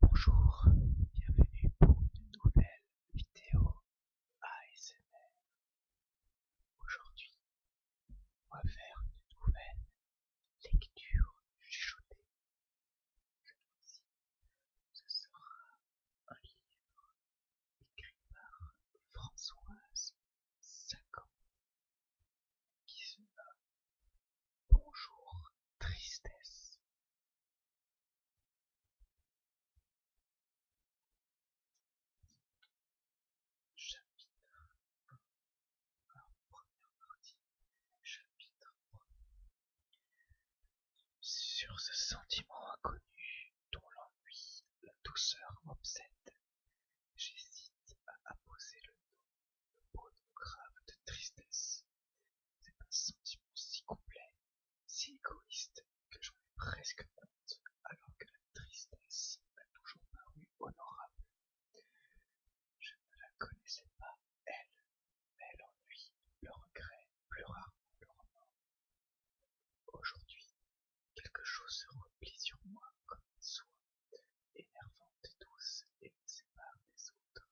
Bonjour, bienvenue pour une nouvelle vidéo ASMR. Aujourd'hui, on va faire une nouvelle lecture chuchotée. Je ce sera un livre écrit par Françoise Sacan qui se nomme Bonjour Tristesse. Chapitre Sur ce sentiment inconnu dont l'ennui, la douceur m'obsèdent, j'hésite à apposer le nom, le mot grave de tristesse c'est un sentiment si complet, si égoïste, que j'en ai presque honte, alors que la tristesse m'a toujours paru honorable. Je ne la connaissais pas, elle, mais l'ennui, le regret, plus rarement le remords. Aujourd'hui, quelque chose se replie sur moi comme une soie, énervante et douce, et me sépare des autres.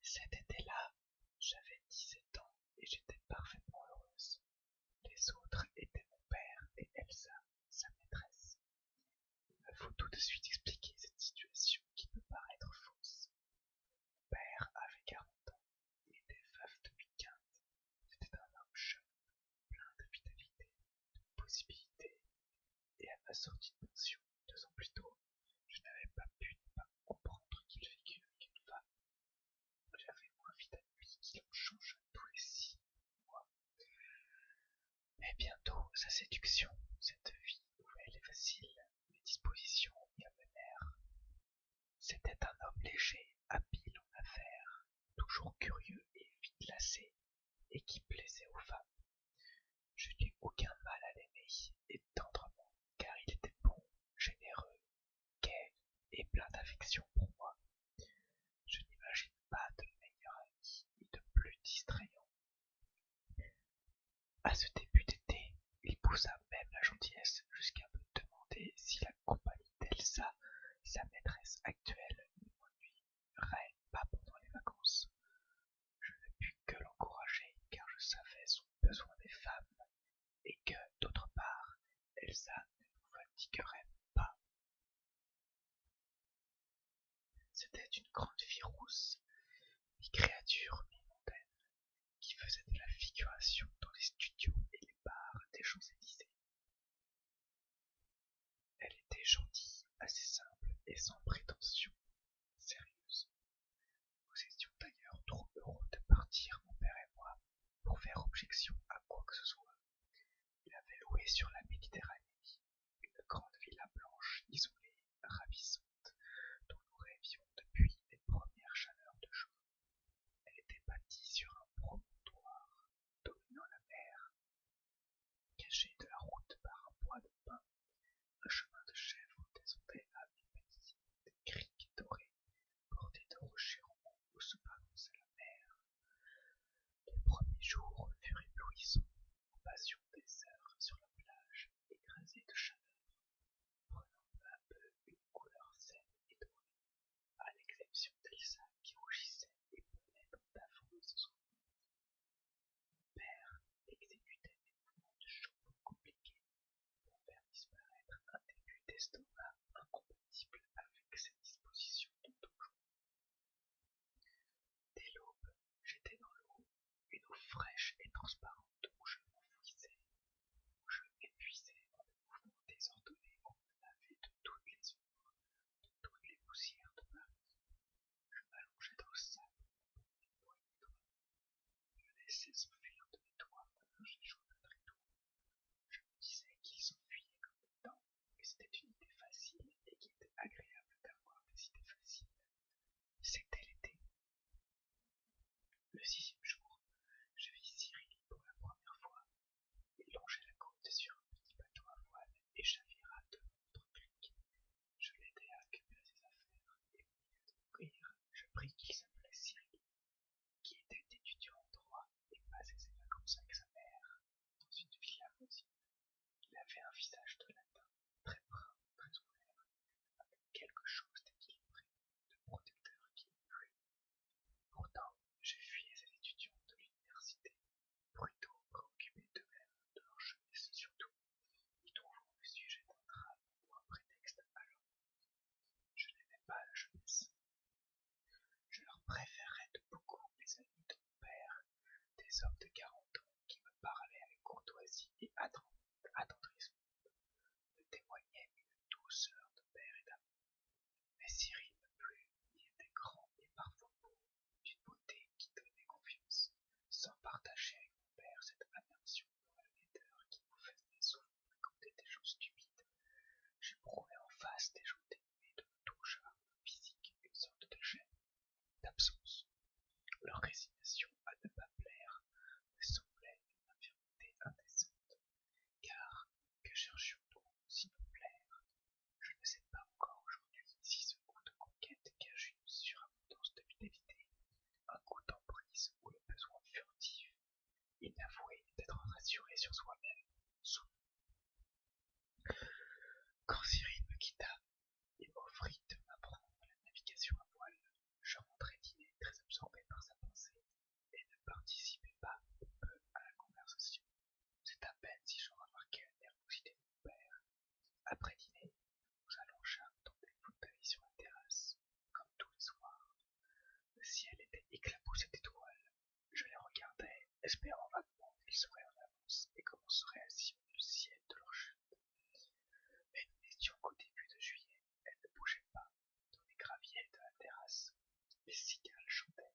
Cet été-là, j'avais dix-sept ans et j'étais parfaitement heureuse. Les autres étaient mon père et Elsa, sa maîtresse. Il me faut tout de suite expliquer cette situation qui peut paraître fausse. Mon père avait quarante ans, il était veuf depuis quinze. C'était un homme jeune, plein de vitalité, de possibilités, et à ma sortie de pension, deux ans plus tôt, je n'avais pas pu ne pas comprendre qu'il vécût avec une femme. J'avais moins vite lui, qu'il en change tous les six mois. Mais bientôt, sa séduction, cette vie nouvelle et facile, mes dispositions y amenèrent. C'était un homme léger, habile en affaires, toujours curieux et vite lassé, et qui plaisait aux femmes. Je n'eus aucun mal à l'aimer, et tendrement, car il était bon, généreux, gai et plein d'affection pour moi. Je n'imagine pas de meilleur ami et de plus distrayant. À ce début d'été, il poussa même la gentillesse jusqu'à me demander si la compagnie d'Elsa, sa maîtresse actuelle, ne m'ennuierait pas pendant les vacances. Je ne pus que l'encourager car je savais son besoin des femmes et que, d'autre part, Elsa ne nous fatiguerait pas. C'était une grande fille rousse, une créature mi qui faisait de la figuration dans les studios et les bars des Champs-Élysées. Elle était gentille, assez simple et sans prétention, sérieuse, nous étions d'ailleurs trop heureux de partir, mon père et moi, pour faire objection à quoi que ce soit. Il avait loué sur la Méditerranée une grande villa blanche, isolée, ravissante, dont nous rêvions depuis les premières chaleurs de juin. Elle était bâtie sur un promontoire dominant la mer, cachée de la route par un bois de un chemin de chèvres descendait à une des criques dorées, bordées de rochers où se balançait la mer. Les premiers jours furent éblouissants, en passion des heures sur la plage, écrasée de chaleur, prenant peu à peu une couleur saine et dorée, à l'exception d'Elsa qui rougissait et prenait dans d'affreux Père exécutait des mouvements de jambes compliqués pour faire disparaître un début d'estomac incompatible avec ses dispositions de Des Dès l'aube, j'étais dans l'eau, une eau fraîche et transparente où je m'enfuisais, où je m'épuisais en des mouvement désordonné qu'on me de toutes les ombres, de toutes les poussières de vie. Je m'allongeais dans le sable, mon poing étroit. Je laissais s'enfuir de mes doigts comme linge de Je me disais qu'ils s'enfuyaient comme des temps, que c'était une idée facile et qu'il était agréable d'avoir des idées faciles. C'était l'été. Le sixième jour, je vis Cyril pour la première fois. Il longeait la côte sur un petit bateau à voile et chavira de l'autre je l'aidai à récupérer ses affaires, et à milieu de je pris qu'il s'appelait Cyril, qui était étudiant en droit et passait ses vacances avec sa mère dans une villa voisine. Il avait un visage de latin, très brun, très ouvert, avec quelque chose d'équilibré, de protecteur qui Pourtant, je fuyais ces étudiants de l'université, plutôt préoccupés d'eux-mêmes, de leur jeunesse surtout, ils trouvent le sujet d'un drame ou un prétexte à Je n'aimais pas la jeunesse. Je leur préférais de beaucoup les amis de mon père, des hommes de quarante ans qui me parlaient avec courtoisie et attendrissement, me témoignaient une douceur de père et d'amour. Mais Cyril me plus il était grand et parfois beau, d'une beauté qui donnait confiance, sans partager avec mon père cette aversion qui nous faisait des choses stupides. J'éprouvais en face des gens dénués de tout charme physique, une sorte de gêne, d'absence. Leur résignation à ne pas plaire me semblait une infirmité indécente, car que cherchions-nous sinon plaire Je ne sais pas encore aujourd'hui si ce goût de conquête cache sur surabondance de vitalité, un goût d'emprise ou le besoin furtif, inavoué d'être rassuré sur soi-même, Quand Cyril me quitta et m'offrit de m'apprendre la navigation à voile, je rentrais dîner très absorbé par sa pensée et ne participais pas peu à la conversation. C'est à peine si je remarquais la nervosité de mon père après dîner, nous allongeâmes dans des fauteuils sur la terrasse, comme tous les soirs. Le ciel était éclaboussé d'étoiles. Je les regardais, espérant vaguement qu'elles seraient en avance et commenceraient à le ciel de leur chute. Mais nous n'étions qu'au début de juillet, elles ne bougeaient pas dans les graviers de la terrasse. Les cigales chantaient.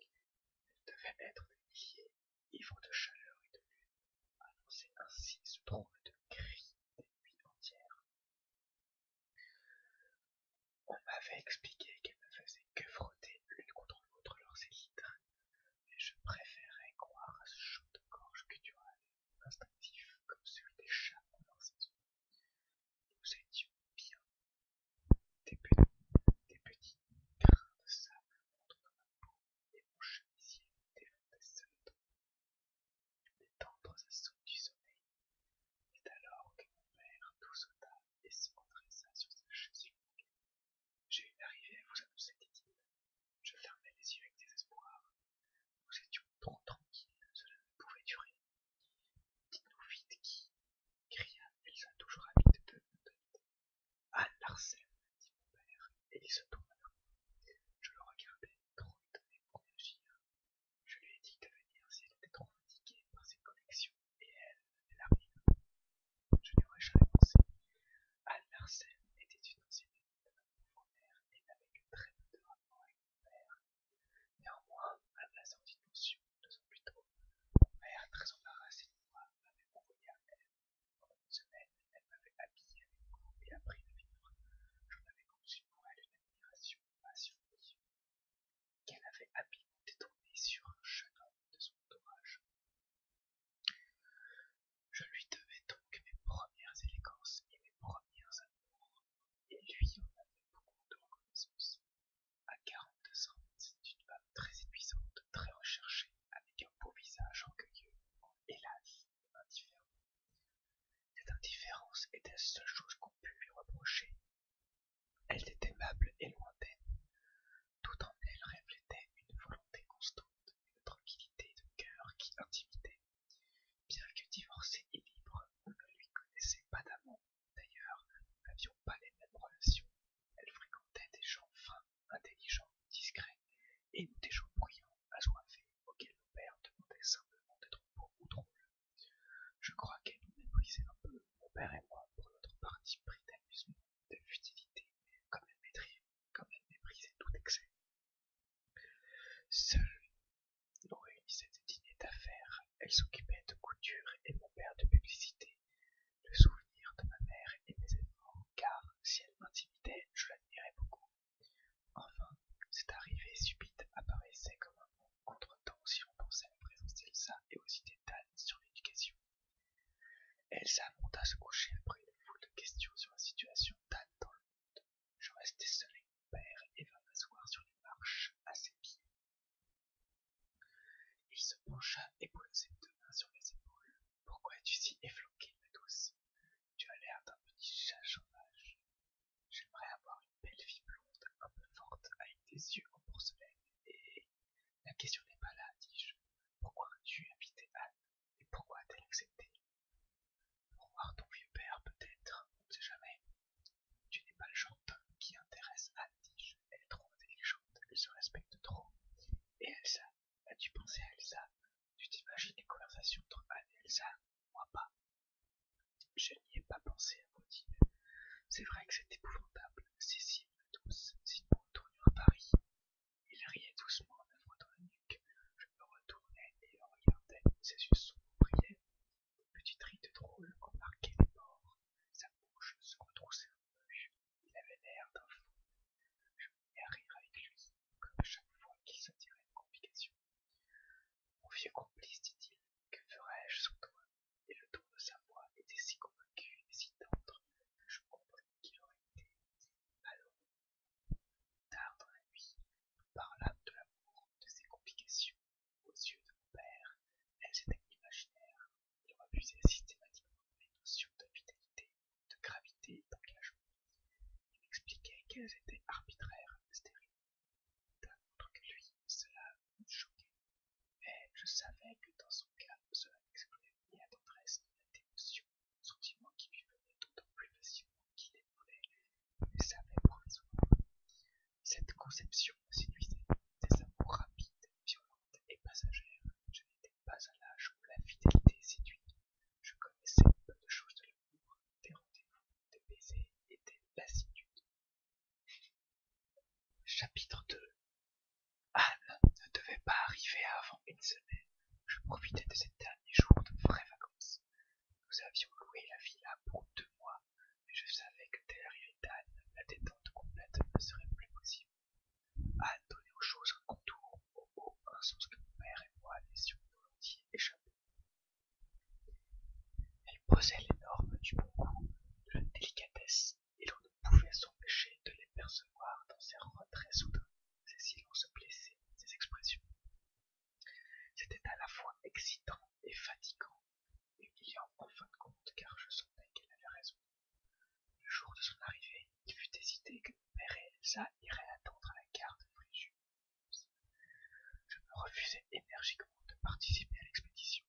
Elles devaient être des milliers, ivres de chaleur et de lune, annonçaient ainsi ce trouble de cri des nuits entières. On m'avait expliqué qu'elles ne faisaient que frotter l'une contre l'autre leurs élytres, mais je préférais croire à ce chant de gorge guttural, instinctif comme celui des chats dans leur saison. Nous étions bien des petits, des grains de sable entre ma peau et mon chemisier les tendres assauts du sommeil. C'est alors que mon père tout sauta et se redressa sur sa chaise J'ai une arrivée à vous annoncer, dit-il. Je fermais les yeux avec désespoir. Nous étions trop tranquilles, cela ne pouvait durer. Dites-nous vite qui cria Elsa toujours habite de Anne Larsen, mon et il se tournèrent. Je le regardais, trop étonné pour réagir. Je lui ai dit de venir si était trop fatiguée par ses connexions, et elle, elle rien. Je n'aurais jamais pensé. Anne Larsen était une ancienne de ma père mère et n'avait que très peu de rapport avec mon père. Néanmoins, à la sortie de pension, deux ans plus tôt, mon père, très embarrassé de moi, m'avait envoyé à elle pendant une semaine, elle m'avait habillé avec nouveau et appris à vivre. J'en avais conçu pour elle une admiration passionnée, qu'elle avait habilement détournée sur un jeune homme de son entourage. Je lui devais donc mes premières élégances et mes premières amours, et lui en avait beaucoup de reconnaissance. À 42 ans, c'était une femme très épuisante, très recherchée, avec un beau visage en hélas, indifférent. Cette indifférence était la seule chose qu'on pût lui reprocher. Elle était aimable et lointaine. Tout en elle reflétait une volonté constante, une tranquillité de cœur qui intimidait. Bien que divorcée et libre, on ne lui connaissait pas d'amant. D'ailleurs, nous n'avions pas les mêmes relations. Elle fréquentait des gens fins, intelligents, discrets, et nous des gens bruyants, assoiffés auquel mon père demandait simplement d'être beau ou trouble. Je crois qu'elle nous méprisait un peu, mon père et moi, pour notre parti pris d'amusement, de futilité, comme elle, comme elle méprisait tout excès. Seule, nous réunissait des dîners d'affaires, elle s'occupait de couture et mon père de publicité, le souvenir de ma mère et mes éléments, car si elle m'intimidait, je l'admirais beaucoup. Enfin, cette arrivée subite apparaissait comme un bon contretemps si l'on pensait à la présence d'Elsa et aussi d'Anne sur l'éducation. Elsa monta se coucher après une foule de questions sur la situation d'Anne dans le monde. Je restai seul avec mon père et vint m'asseoir sur les marches à ses pieds. Il se pencha et posa ses deux mains sur mes épaules. Pourquoi es-tu si efflanqué, ma douce tu as l'air d'un petit chat sauvage. J'aimerais avoir une belle fille blonde, un peu forte, avec des yeux en porcelaine. Et la question n'est pas là, dis-je. Pourquoi as-tu invité Anne et pourquoi a-t-elle accepté Pour voir ton vieux père, peut-être, on ne sait jamais. Tu n'es pas le genre qui intéresse Anne, dis-je. Elle est trop intelligente, elle se respecte trop. Et Elsa, as-tu pensé à Elsa tu t'imagines les conversations entre Anne et Elsa Moi pas. Je n'y ai pas pensé, à dire C'est vrai que c'est épouvantable. Cécile me si S'il me à Paris. Il riait doucement en me la nuque. Je me retournais et le regardais. Ses yeux sombres brillaient. Une petite ride drôle qu'on marquait les bords. Sa bouche se retroussait un peu. Il avait l'air d'un fou et à avec lui, comme à chaque fois qu'il tirait une complication. Mon vieux complice, dit-il, que ferais-je sans toi Et le ton de sa voix était si convaincu et si tendre que je compris qu'il aurait été alors Tard dans la nuit, nous parlâmes de l'amour, de ses complications. Aux yeux de mon père, elles étaient imaginaires. Il refusait systématiquement les notions de vitalité de gravité et d'engagement. Il m'expliquait qu'elles étaient arbitraires et stériles. D'un autre que lui, cela me choquait. Mais je savais que dans son cas, cela expliquait ni la tendresse ni la dévotion, sentiment qui lui venait d'autant plus facilement qu'il les voulait, mais savait raison. Cette conception me séduisait. Des amours rapides, violentes et passagères. Je n'étais pas à l'âge où la fidélité séduit. Je connaissais peu de choses de des rendez-vous, des baisers et des Chapitre 2 Anne ne devait pas arriver avant une semaine. Je profitais de ces derniers jours de vraies vacances. Nous avions loué la villa pour deux mois, mais je savais que dès Anne, la détente complète ne serait plus possible. Anne donnait aux choses un contour, au haut, un sens que mon père et moi laissions volontiers échapper. Elle posait l'énorme normes du bon goût, de la délicatesse, et l'on ne pouvait s'empêcher de les percevoir dans ses retraits soudains, ses silences blessés, ses expressions. C'était à la fois excitant et fatigant, humiliant en fin de compte, car je sentais qu'elle avait raison. Le jour de son arrivée, il fut hésité que Mère père Elsa irait attendre à la gare de je me refusai énergiquement de participer à l'expédition.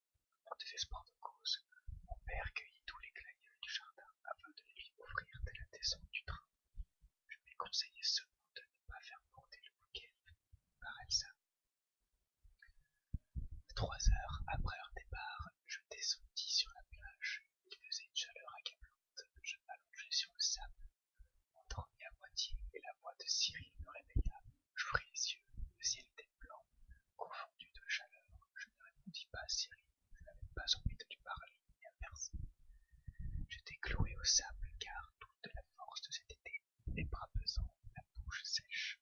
En désespoir de cause, mon père cueillit tous les glaïeuls du jardin afin de les lui offrir dès la descente du train. Je lui conseillais seulement de ne pas faire porter le bouquet par Elsa. Trois heures après leur départ, je descendis sur la plage. Il faisait une chaleur accablante. Je m'allongeai sur le sable m'endormis à moitié et la voix de Cyril me réveilla. J'ouvris les yeux, le ciel était blanc, confondu de chaleur. Je ne répondis pas à Cyril, je n'avais pas envie de lui parler ni à personne. J'étais cloué au sable car toute la force de cet été, les bras pesants, la bouche sèche.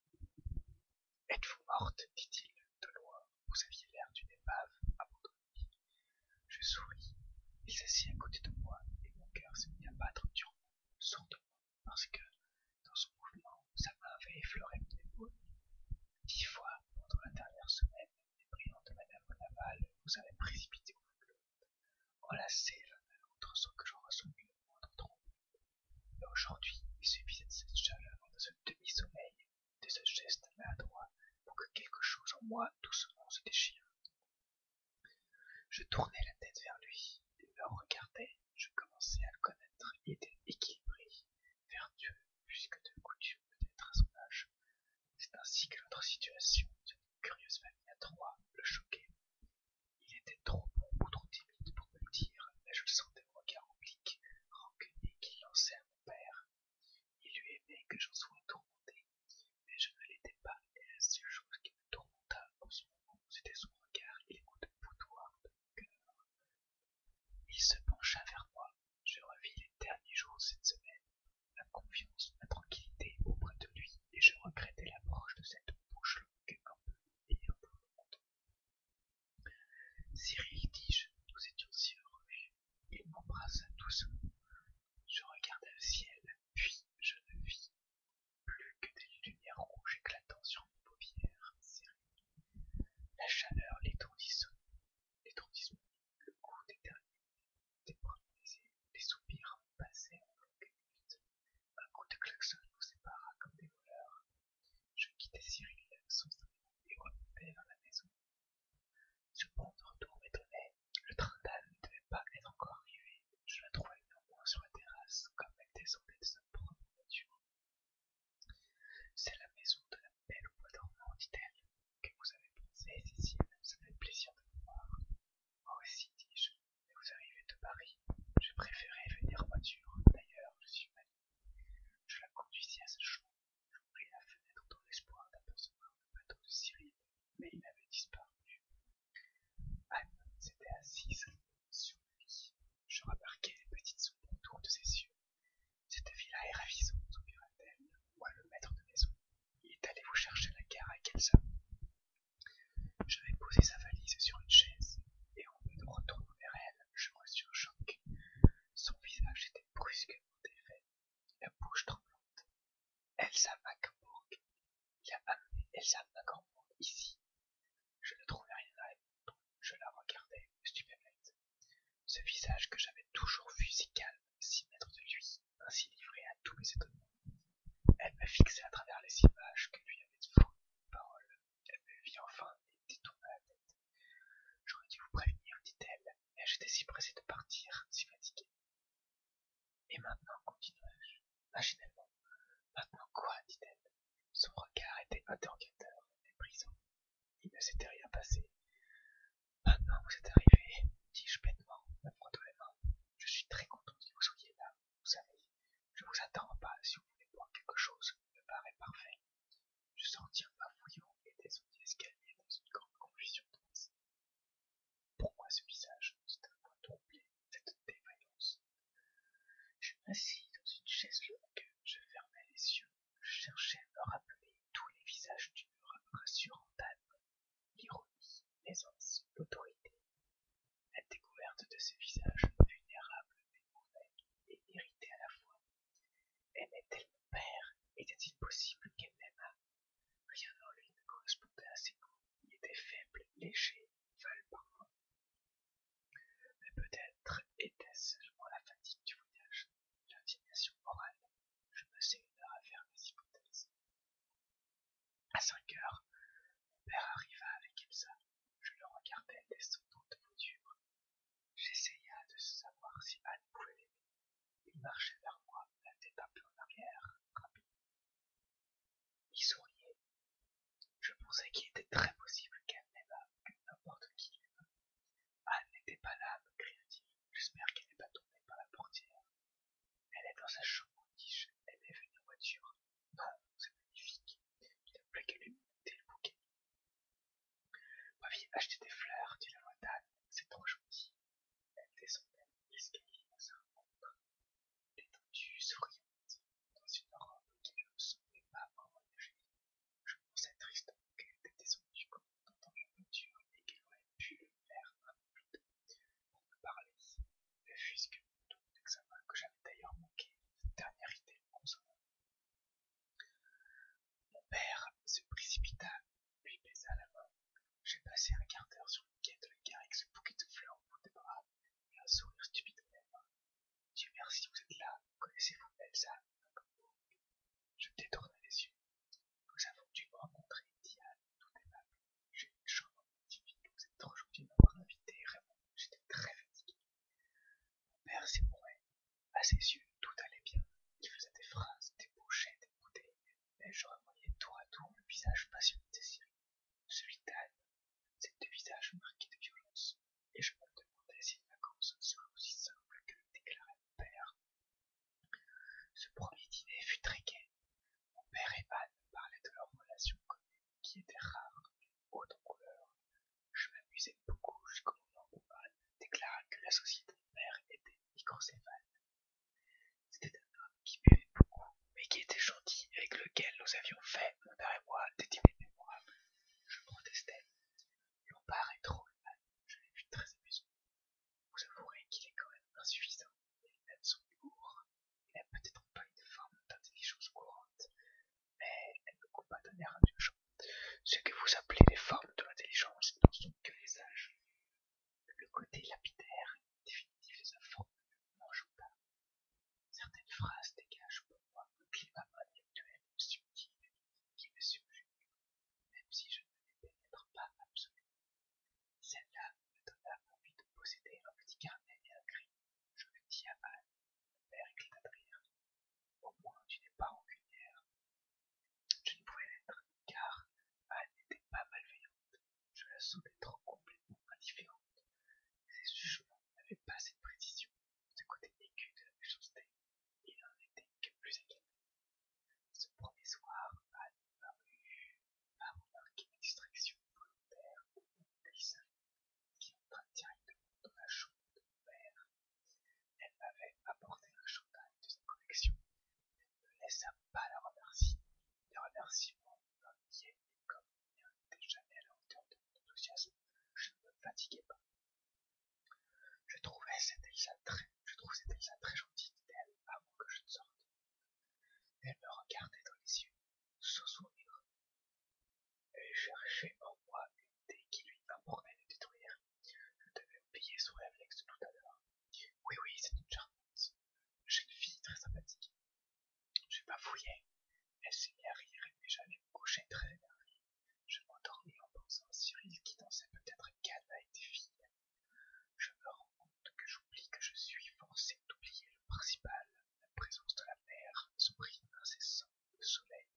Êtes-vous morte dit-il de loin. Vous aviez l'air d'une épave abandonnée. Je souris, il s'assit à côté de moi et mon cœur s'est mit à battre durement, sourdement, parce que, dans son mouvement, sa main avait effleuré mon épaule. Dix fois, pendant la dernière semaine, les brillants de Madame Bonaval nous avaient précipité au l'autre, enlacés l'un à l'autre sans que j'en ressemble le moindre tremblement. Mais aujourd'hui, il suffisait de cette chaleur, de ce demi-sommeil, de ce geste maladroit pour que quelque chose en moi doucement se déchire. Je tournai la tête vers lui, il le regardait, je commençais à le connaître, il était équilibré, vertueux, plus que de coutume peut-être à son âge. C'est ainsi que notre situation d'une curieuse famille à trois le choquait. Il était trop bon ou trop timide pour me le dire, mais je sentais mon regard oblique, rancunier qu'il lançait à mon père. Il lui aimait que j'en sois tourmenté, mais je ne l'étais pas, et la seule chose qui me tourmenta en ce moment, c'était son regard et les coups de de mon cœur. Il se pencha vers moi, je revis les derniers jours de cette semaine, la confiance, la tranquillité auprès de lui, et je regrettais l'approche de cette bouche longue, un peu et un peu monde. Cyril, dis-je, nous étions si heureux. Il m'embrassa doucement. Je regardais le ciel, puis je ne vis plus que des lumières rouges éclatant sur mes paupières Cyril, La chaleur, l'étourdissement, le goût des des premiers les soupirs passaient en longues minutes. Un coup de klaxon nous sépara comme des voleurs. Je quittai Cyril sans et remontai vers la maison. Ce de retour m'étonnait le train-d'âne ne devait pas être encore arrivé, je la trouvai néanmoins sur la terrasse, comme elle descendait de sa propre voiture. C'est la maison de la belle au dit-elle, que vous avez posée, Cécile, ça fait plaisir de me voir. Oh aussi, dis-je, vous arrivez de Paris, j'ai préféré venir en voiture, d'ailleurs, je suis mal. Je la conduisis à sa chambre, j'ouvris la fenêtre dans l'espoir d'apercevoir le bateau de Cyril mais il avait disparu. Anne s'était assise sur le lit. Je remarquai les petites ombres autour de ses yeux. Cette villa est ravissante, soupira t Moi, le maître de maison, il est allé vous chercher la gare à Kelsa. J'avais posé sa valise sur une chaise, et en me retournant vers elle, je reçus un choqué. Son visage était brusquement défait, la bouche tremblante, Elsa MacBourg, Il a amené Elsa ici. Je ne trouvais rien à répondre. Je la regardais, stupéfaite. Ce visage que j'avais toujours vu si calme, si maître de lui, ainsi livré à tous mes étonnements. Elle me fixait à travers les images que lui avait fournies paroles. parole. Elle me vit enfin et détourna la tête. J'aurais dû vous prévenir, dit-elle, mais j'étais si pressée de partir, si fatiguée. Et maintenant, continuai-je, machinalement. Maintenant quoi? dit-elle. Son regard était interrogateur, méprisant. Il ne s'était rien passé. Maintenant vous êtes arrivé, dis-je bêtement, me de les mains. Je suis très content que vous soyez là, vous savez. Je vous attends pas. si vous voulez voir quelque chose, me paraît parfait. Je sortis un voyant et et escalier escalier dans une grande confusion de pourquoi ce visage C'est un point cette défaillance. Je m'assis dans une chaise longue, je fermais les yeux, je cherchais à me rappeler tous les visages durs, rassurants âme l'ironie, l'aisance, l'autorité. La découverte de ce visage vulnérable mais mauvais et irrité à la fois. Aimait-elle mon père Était-il possible qu'elle m'aimât Rien en lui ne correspondait à ses goûts, il était faible, léger, val Mais peut-être était-ce seulement la fatigue du voyage, l'indignation morale, je me une heure à faire mes hypothèses. À cinq heures, mon père arriva avec Elsa, je le regardai descendant de voiture. J'essaya de savoir si Anne pouvait Il marchait vers moi, la tête un peu en arrière, il souriait. Je pensais qu'il était très possible qu'elle n'aimât n'importe qui Anne n'était pas là, me cria-t-il. J'espère qu'elle n'est pas tombée par la portière. Elle est dans sa chambre, dit Elle est venue en voiture. Non, c'est magnifique. Il a plus qu'à le bouquet. Ma vie acheter des fleurs, dit la voix d'Anne. C'est trop gentil. Elle descendait l'escalier dans sa ombre, étendue, souriante, dans une robe qui ne semblait pas vraiment Je pensais tristement qu'elle était descendue comme dans la voiture et qu'elle aurait pu le faire un peu plus tôt pour me parler, ne fût-ce que mon examen que j'avais d'ailleurs manqué, dernière idée consommée. Mon père se précipita lui baisa la main. J'ai passé un quart d'heure sur le quai de la gare avec ce bouquet de fleurs au bout des bras et un sourire stupide la main. Dieu merci, vous êtes là. Connaissez-vous Elsa Je détournai les yeux. Nous avons dû rencontrer Diane, tout aimable. J'ai une chambre magnifique. Vous êtes aujourd'hui ma invité. Vraiment, j'étais très fatigué. Mon père s'ébrouait. À ses yeux, tout allait bien. Il faisait des phrases, des bouchées, des bouteilles, je revoyais tour à tour le visage passionné de Cécile, celui d'Anne, ces deux visages marqués de violence, et je me demandais si les vacances seraient aussi simple que le déclarait mon père. Ce premier dîner fut très gai. Mon père et Anne parlaient de leur relation qui qui était rare, haute en couleur. Je m'amusais beaucoup jusqu'au moment où Anne déclara que la société de mon père était c'était un homme qui buvait beaucoup, mais qui était gentil, avec lequel nous avions fait, mon père et moi, des dîners mémorables. Je protestais. Mon est trop humain, je l'ai vu très amusant. Vous avouerez qu'il est quand même insuffisant, les lunettes sont humour il n'a peut-être pas une forme d'intelligence courante, mais elle ne coupe pas d'un air indulgent. Ce que vous appelez les formes de l'intelligence n'en sont que les âges. Le côté lapidaire et définitif des enfants ne m'en joue pas. Certaines phrases dégagent pour moi le climat intellectuel subtil qui me subjugue, même si je ne les être pas absolument. Celle-là me donna envie de posséder un petit carnet et un cri. Je le dis à Anne. Mon père Au moins, tu n'es pas rancunière. Je ne pouvais l'être, car Anne n'était pas malveillante je la sentais trop complètement indifférente. Ses jugements n'avaient pas cette précision, ce côté aigu de la méchanceté, il n'en était que plus équilibré. Ce premier soir, Anne parut à remarqué une distraction volontaire au mon qui entra directement dans la chambre de mon père. Elle m'avait apporté un chantage de sa collection, ne laissa pas la remercier. Les remerciements me et comme il n'était jamais à la hauteur de mon enthousiasme. Je ne me fatiguais pas. Je trouvais cette Elsa très, je trouve elle gentille, d'elle avant que je ne sorte. Elle me regardait dans les yeux, sans sourire. Elle cherchait en moi une idée qui lui importait de détruire. Je devais payer son réflexe tout à l'heure. Oui, oui, c'est une charmante. J'ai une fille très sympathique. Je bafouillé. Elle s'est mis à rire et j'allais me coucher très énervé. Je m'endormis en pensant à Cyril qui dansait peut-être qu'elle était été filles. Je me rends compte que j'oublie que je suis forcé d'oublier le principal, la présence de la mer, son bruit incessant, le soleil.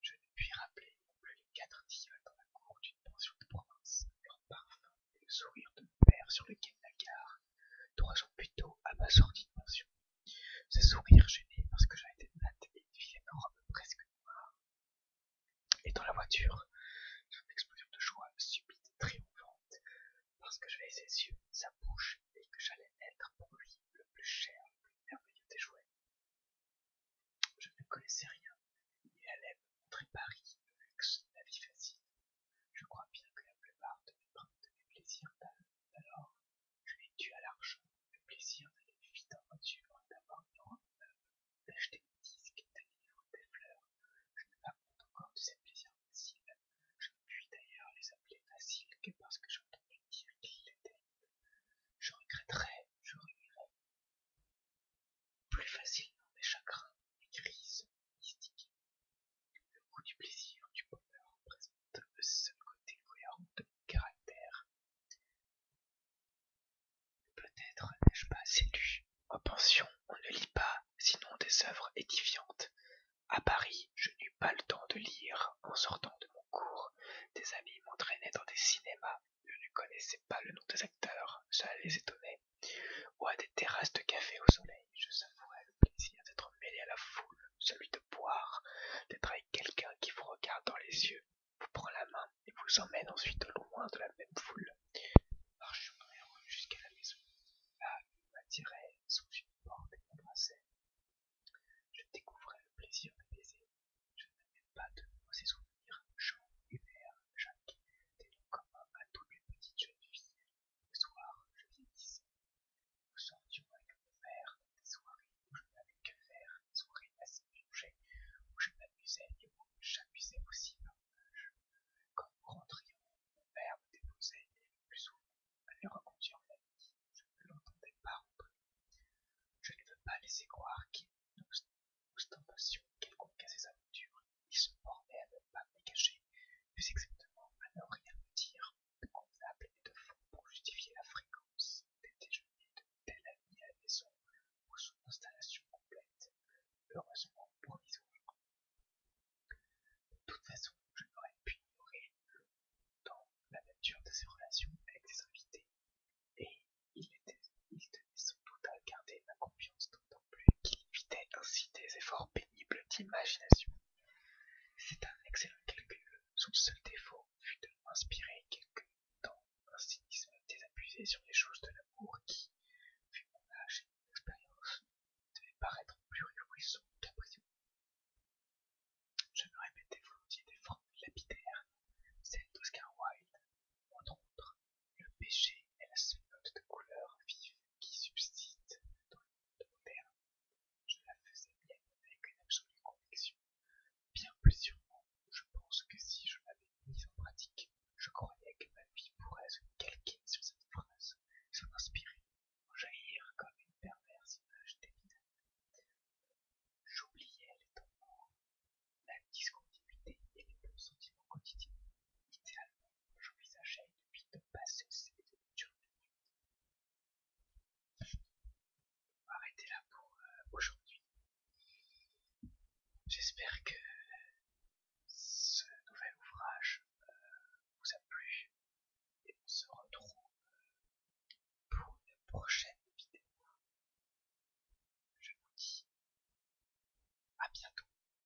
Je ne puis rappeler non plus les quatre divins dans la cour d'une pension de province, leur parfum le sourire de mon père sur lequel la gare, trois jours plus tôt, à ma de pension. Ce sourire gêné parce que j'avais été nattes et une vie presque noire. Et dans la voiture, une explosion de joie subite triomphante parce que j'avais ses yeux, sa bouche et que j'allais être pour lui le plus cher, le plus merveilleux des jouets. Je ne connaissais rien. et elle me montrer Paris, le luxe, la vie facile, je crois bien que la plupart de mes, de mes plaisirs alors je les tue à l'argent, le plaisir d'aller vite en voiture, d'avoir un d'acheter des disques, des livres, des fleurs. Je ne pas encore de ces plaisirs faciles. Je ne puis d'ailleurs les appeler faciles que parce que j'entendais dire qu'ils l'étaient. Je regretterais, je regretterai, plus facilement mes chagrins et sont mystiques. Le goût du plaisir, du bonheur représente le seul côté cohérent de mon caractère. Peut-être n'ai-je pas assez lu. En oh, pension, on ne lit pas, sinon des œuvres édifiantes. À Paris, je n'eus pas le temps de lire en sortant de mon cours. Des amis m'entraînaient dans des cinémas. Je ne connaissais pas le nom des acteurs, cela les étonnait ou à des terrasses de café au soleil, je savourais le plaisir d'être mêlé à la foule, celui de boire, d'être avec quelqu'un qui vous regarde dans les yeux, vous prend la main et vous emmène ensuite loin de la même foule. Je marcherais jusqu'à la maison. Là, il m'attirait sous une porte et m'embrassait. Je découvrais le plaisir de baiser. Je n'avais pas de ces souvenirs. Jean, Hubert, Jacques, des commun communs à toutes les petites jeunes filles le soir, je viens d'ici. Nous sortions avec mon père des soirées où je n'avais que faire, des soirées assez plongées, où je m'amusais et où j'amusais aussi ma Quand nous rentrions, mon père me déposait et le plus souvent allait reconduire la nuit. Je ne l'entendais pas Je ne veux pas laisser croire qu'il une ostentation quelconque à ses aventures, il se bornait à ne pas me cacher plus exactement à ne rien me dire de convenable et de faux pour justifier la fréquence des déjeuners de telle ami à la maison ou son installation complète, heureusement provisoire. De toute façon, je n'aurais pu ignorer dans la nature de ses relations avec ses invités, et il, était, tenait sans doute à garder ma confiance d'autant qui qu'il évitait ainsi des efforts pénibles d'imagination. C'est un excellent calcul. Son seul défaut fut de m'inspirer quelque temps un cynisme désabusé sur les choses de l'amour qui, vu mon âge et mon expérience, devait paraître plus rigoureusement capricieux. Je me répétais volontiers des formules lapidaires, celles d'Oscar Wilde, entre autres, le péché est la seule note de couleur vive qui subsiste dans le monde moderne. Je la faisais bien avec une absolue conviction, bien plus sûrement je pense que si je l'avais mise en pratique, je croyais que ma vie pourrait se calquer sur cette phrase, s'en inspirer, en jaillir comme une perverse image dévine. J'oubliais les temps la discontinuité et les bons sentiments quotidiens, idéalement j'envisageais depuis de passer cette de On va arrêter là pour euh, aujourd'hui. J'espère que ce nouvel ouvrage euh, vous a plu et on se retrouve pour une prochaine vidéo. Je vous dis à bientôt.